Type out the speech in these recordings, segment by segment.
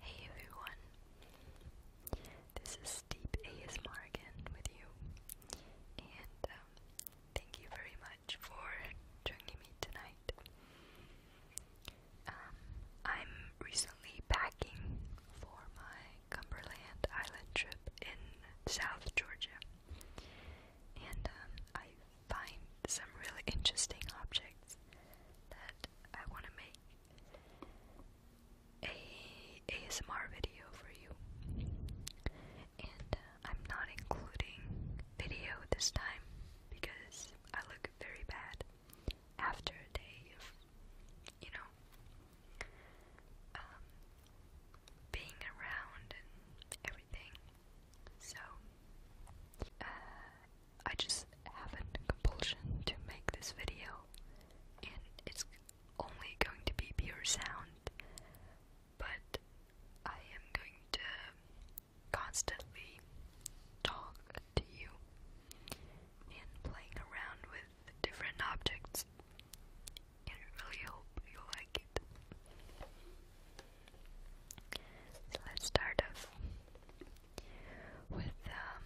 Hey everyone, this is Deep ASMR again with you, and um, thank you very much for joining me tonight. Um, I'm recently packing for my Cumberland Island trip in South Georgia, and um, I find some really interesting objects that I want to make a ASMR video for you. And uh, I'm not including video this time because I look very bad after a day of, you know, um, being around and everything. So, uh, I just have a compulsion to make this video, and it's only going to be pure sound, but I am going to constantly talk to you and playing around with different objects, and really hope you like it. So let's start off with um,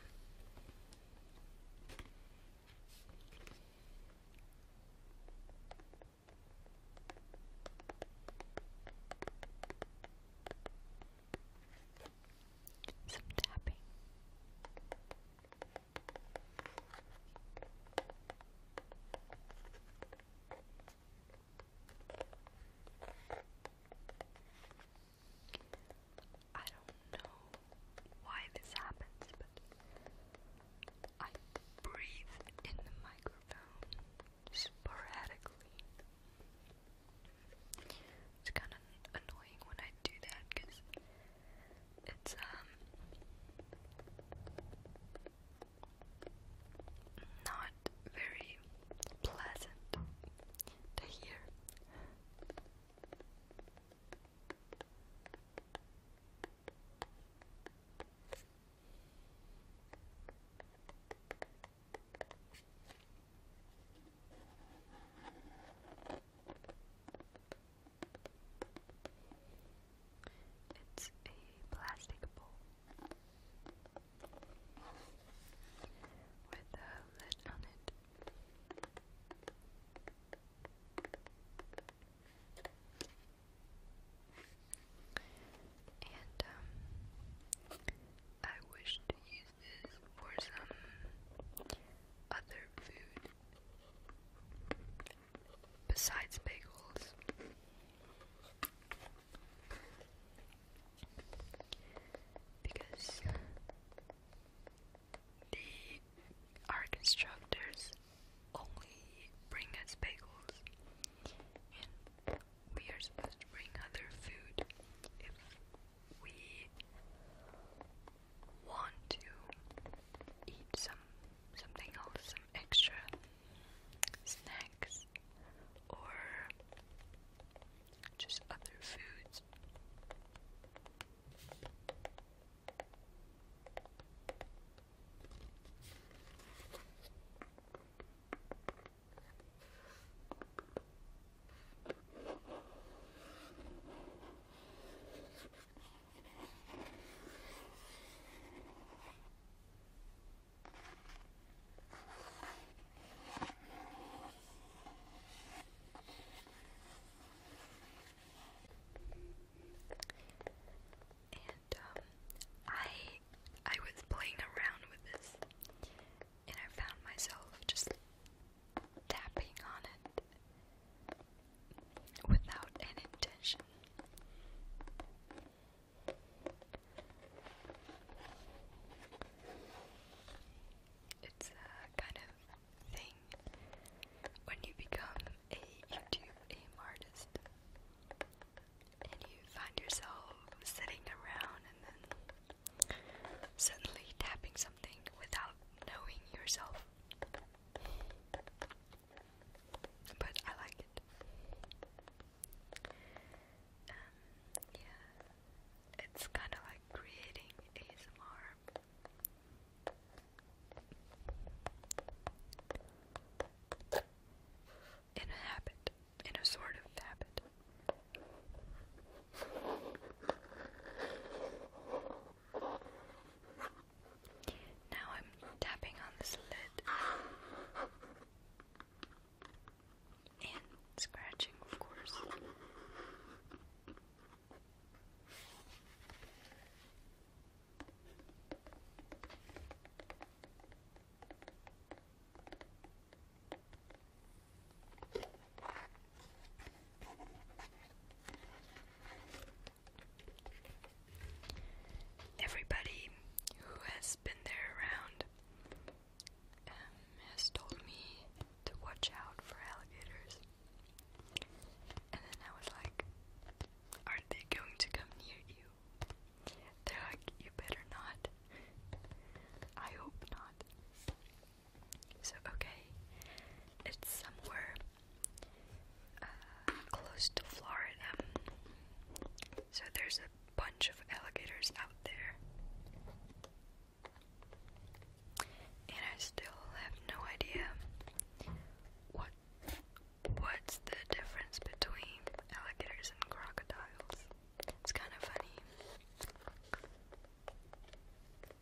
some tapping. I don't know why this happens, but I breathe in the microphone sporadically. It's kind of annoying when I do that because it's, um, not very pleasant the hair. It's a plastic bowl with a lid on it. And um, I wish to use this for some other food besides bagels because the our constructors only bring us bagels and we are supposed to bring other food if we want to eat some something else, some extra snacks rice or just other foods. And um I I was playing around with this and I found myself just tapping on it without any intention. It's a kind of thing when you become a YouTube aim artist and you find yourself sitting around and then suddenly tapping something without knowing yourself. But I like it. Um, yeah, it's kind of like creating ASMR. In a habit, in a sort of habit. Now I'm tapping on this lid and scratching, of course. Everybody who has been there around um, has told me to watch out for alligators. And then I was like, Are they going to come near you? They're like, You better not. I hope not. So, okay, it's somewhere uh, close to Florida. So, there's a bunch of alligators out there. And I still have no idea what what's the difference between alligators and crocodiles. It's kind of funny.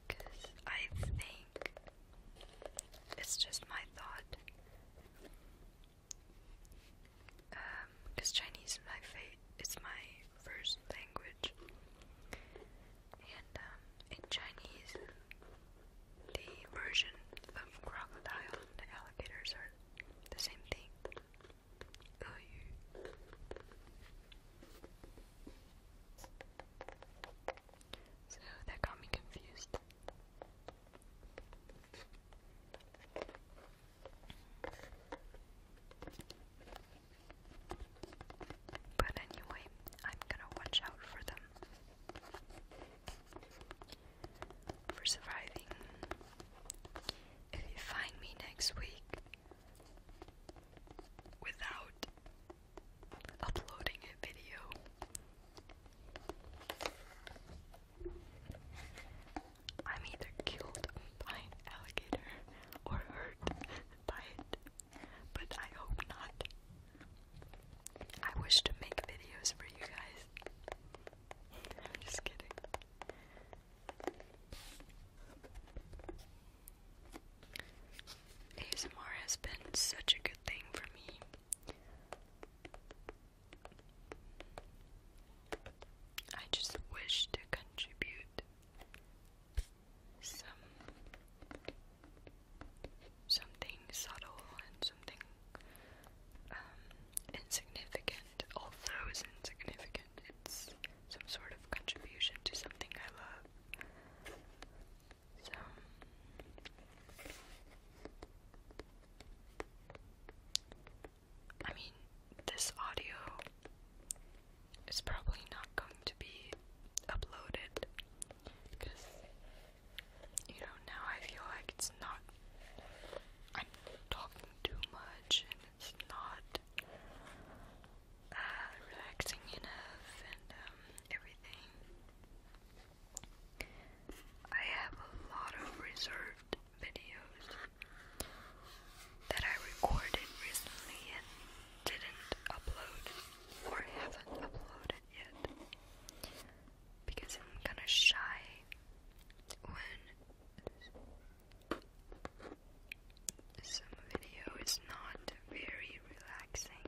Cause I think it's just my thought because um, Chinese is my first language, and um, in Chinese, the version of crocodile and alligators are the same thing. So that got me confused. But anyway, I'm gonna watch out for them. For surviving. If you find me next week without uploading a video, I'm either killed by an alligator or hurt by it, but I hope not. I wish to make videos for you guys. I'm just kidding. ASMR has been such a good thing for me. I just wish to contribute some something subtle and something um, insignificant, although it's insignificant, it's some sort of contribution to something I love. So I mean, this audio is probably not going to be uploaded because, you know, now I feel like it's not. I'm talking too much and it's not uh, relaxing enough and um, everything. I have a lot of reserved videos that I recorded recently and didn't upload or haven't uploaded yet because I'm kind of shy when some video is not very relaxing.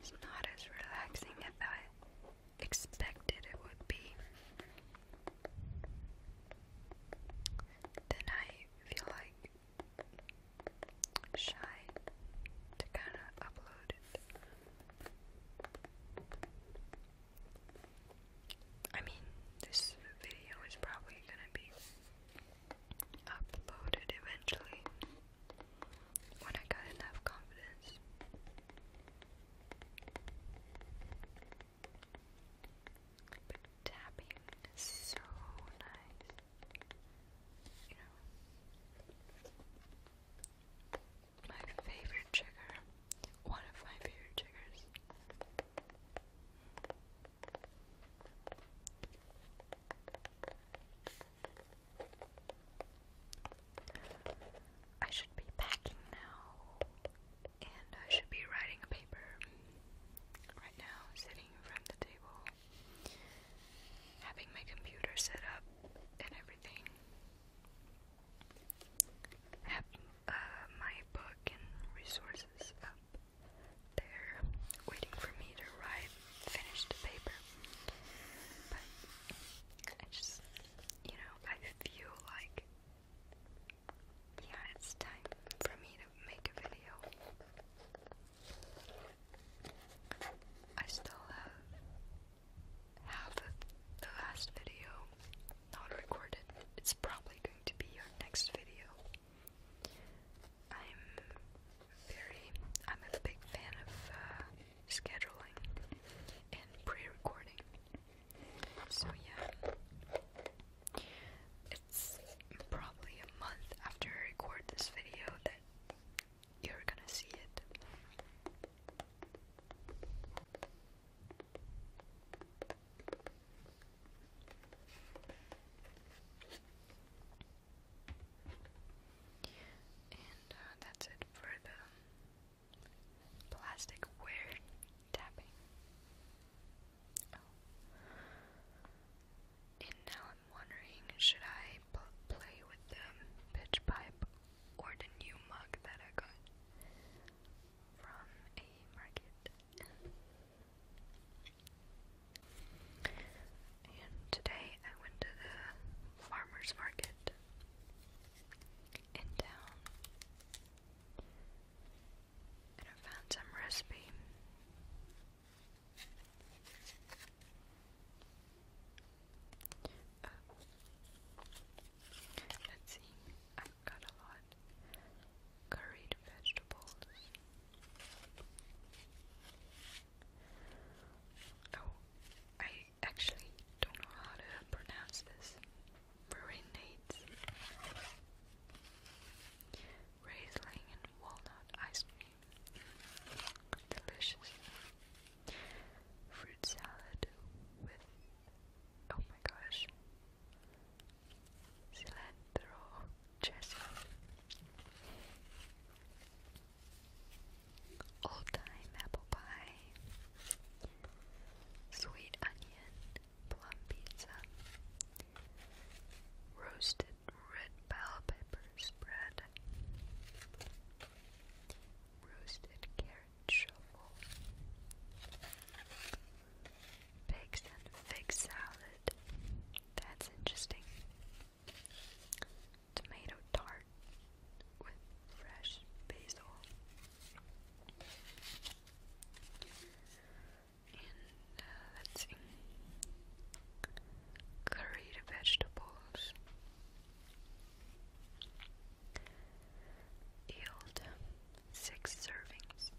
It's not as relaxing as I expected it would be then I feel like shy to kind of upload it. I mean, this video is probably gonna be uploaded eventually when I got enough confidence tapping so nice. You know, my favorite trigger, one of my favorite triggers. I should be packing now and I should be writing a paper right now, sitting in front of the table, having my computer set up and everything. I have uh, my book and resources up there, waiting for me to write, finish the paper. But I just, you know, I feel like yeah, it's time for me to make a video. I still have half the last video not recorded. It's probably going to be our next video. I'm very, I'm a big fan of uh, scheduling and pre-recording. So yeah, it's probably a month after I record this video that you're gonna see it. And uh, that's it for the Plastic where tapping. Oh. And now I'm wondering, should I play with the pitch pipe or the new mug that I got from a market? And today I went to the farmer's market in town. I found some recipe. Oh. let's see, I've got a lot. Curried vegetables. Oh, I actually don't know how to pronounce this. Marine dates, and walnut ice cream, delicious fruit salad with oh my gosh, cilantro dressing, old time apple pie. Sweet onion plum pizza. Roasted red bell pepper spread. Roasted carrot shovels, Figs and fig salad. That's interesting. Tomato tart with fresh basil. And uh, let's see. Curried vegetables. Yield six servings.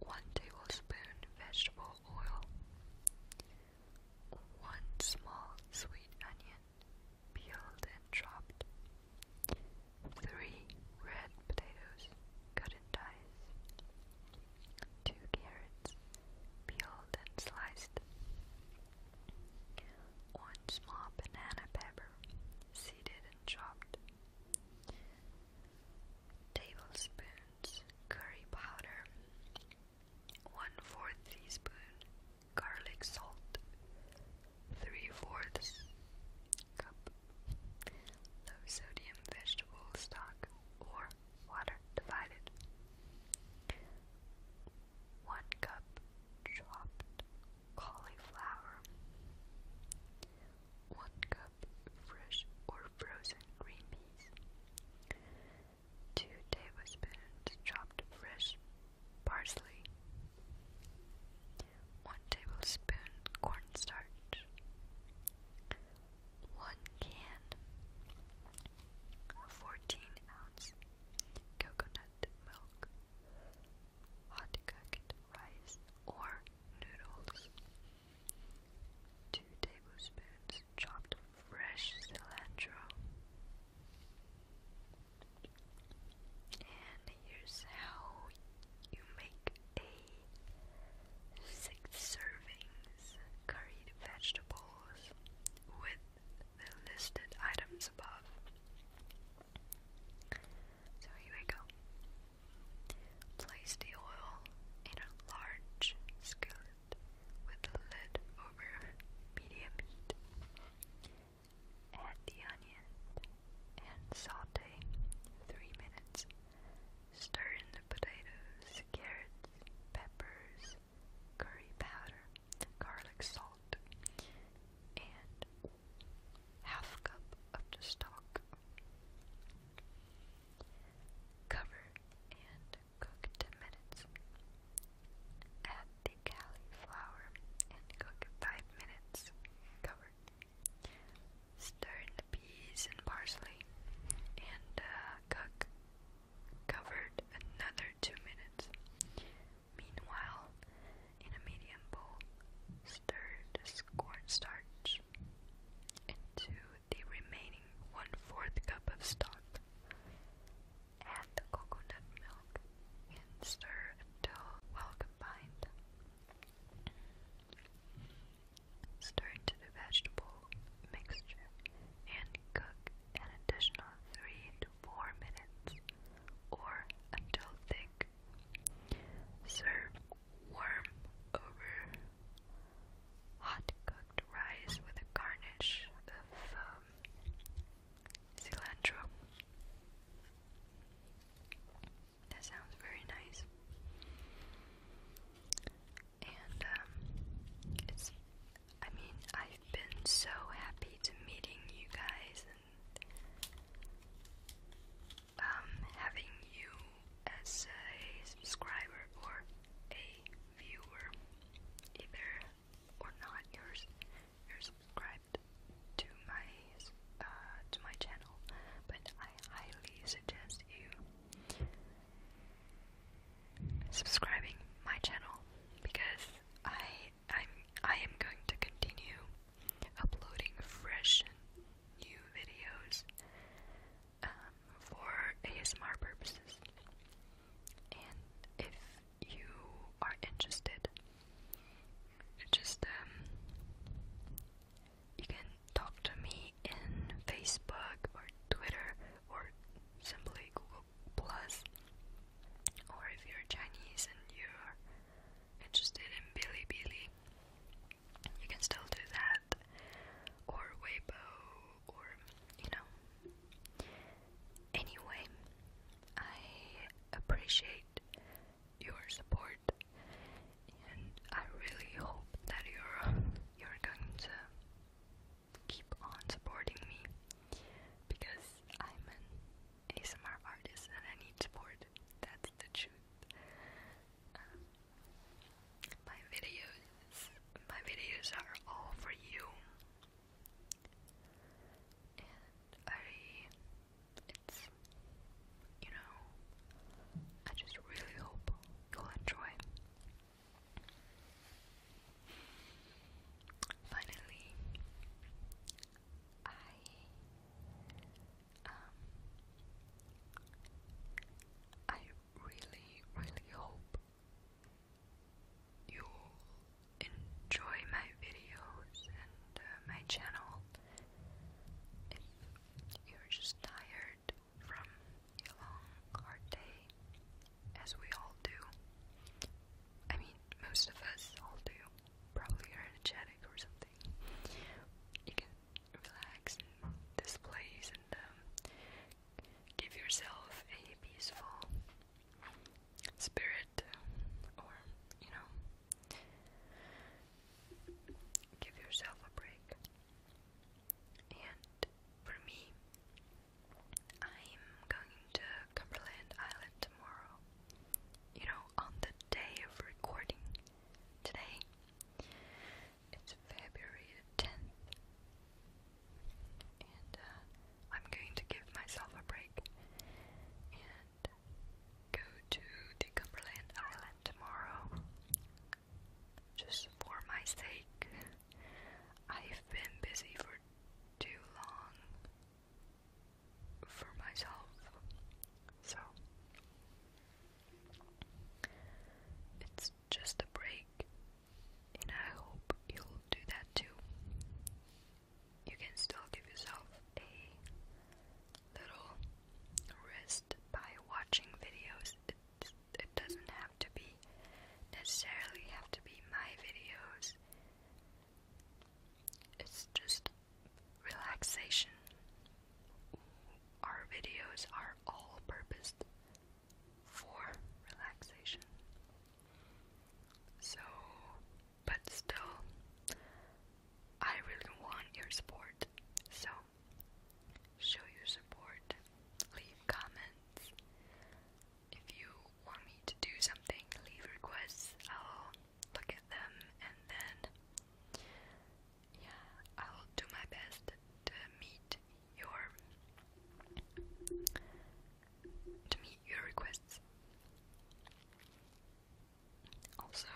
One tablespoon vegetable oil. One small sweet onion peeled and chopped. Three red potatoes, cut in dice. Two carrots, peeled and sliced. One small banana pepper, seeded and chopped. Tablespoons curry powder. One fourth teaspoon garlic salt, three fourths cup low sodium vegetable stock or water divided, one cup chopped cauliflower, one cup fresh or frozen green peas. 2 tablespoons chopped fresh parsley, 1 tablespoon cornstarch, 1 can 14 ounce coconut milk, hot cooked rice or noodles, 2 tablespoons chopped fresh cilantro, and here's how you make a six servings curried vegetables with the listed items above. So here we go. Place the oil in a large skillet with the lid over medium heat. Add the onion and saute 3 minutes. Stir in the potatoes, carrots, peppers, curry powder, garlic salt, and half cup of the stock. Cover and cook 10 minutes. Add the cauliflower and cook 5 minutes, covered. Stir in the peas and parsley and uh, cook covered another 2 minutes. Meanwhile, in a medium bowl, stir the cornstarch into the remaining one-fourth cup of stock add coconut milk and stir until well combined. Stir into the vegetable mixture and cook an additional 3 to 4 minutes or until thick. Serve warm over hot cooked rice with a garnish of um, cilantro. That sounds very nice. And um, it's I mean, I've been so happy to meeting you guys and um, having you as a subscriber or a viewer, either or not, you're you're subscribed to my uh, to my channel, but I highly suggest you subscribing my channel because I I'm I am going to continue uploading fresh new videos um, for ASMR purposes. And if you are interested. Just um, you can talk to me in Facebook or Twitter or simply Google Plus. Or if you're Chinese and you're interested in Bilibili, you can still do that. Or Weibo, or you know. Anyway, I appreciate your support and I really hope that you're you're going to keep on supporting me because I'm an ASMR artist and I need support. That's the truth. Um, my videos my videos are all for you. And I, it's, you know, I just really hope you'll enjoy. Finally, I, um, I really, really hope you'll enjoy my videos and uh, my channel. If you're just tired from a long, hard day, as we all do, I mean, most of us all do, probably you are energetic or something, you can relax in and um, give yourself a peaceful spirit or, you know, give yourself a break. And for me, I'm going to Cumberland Island tomorrow. You know, on the day of recording today, it's February 10th. Uh, I'm going to give myself a break and go to the Cumberland Island tomorrow just for my sake. I've been busy for too long for myself, so it's just a break, and I hope you'll do that too you can still give yourself a little rest by watching videos. It, it doesn't have to be necessarily have to be my videos. It's just relaxation. Our videos are all purposed for relaxation. So, but still, I really want your support. So, show your support, leave comments. If you want me to do something, leave requests. I'll look at them and then, yeah, I'll do my best to meet your to meet your requests. Also,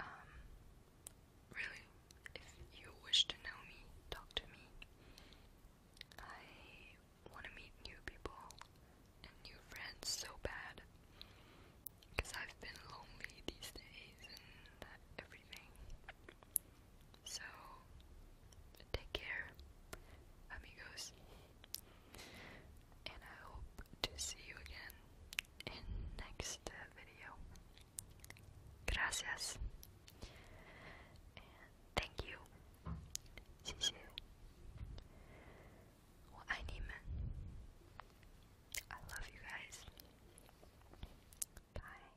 um, really, if you wish to know me, talk to me. I want to meet new people and new friends so bad because I've been lonely these days and everything. So, take care, amigos, and I hope to see you again in next video. Gracias, thank you. 谢谢，我爱你们。I love you guys. Bye.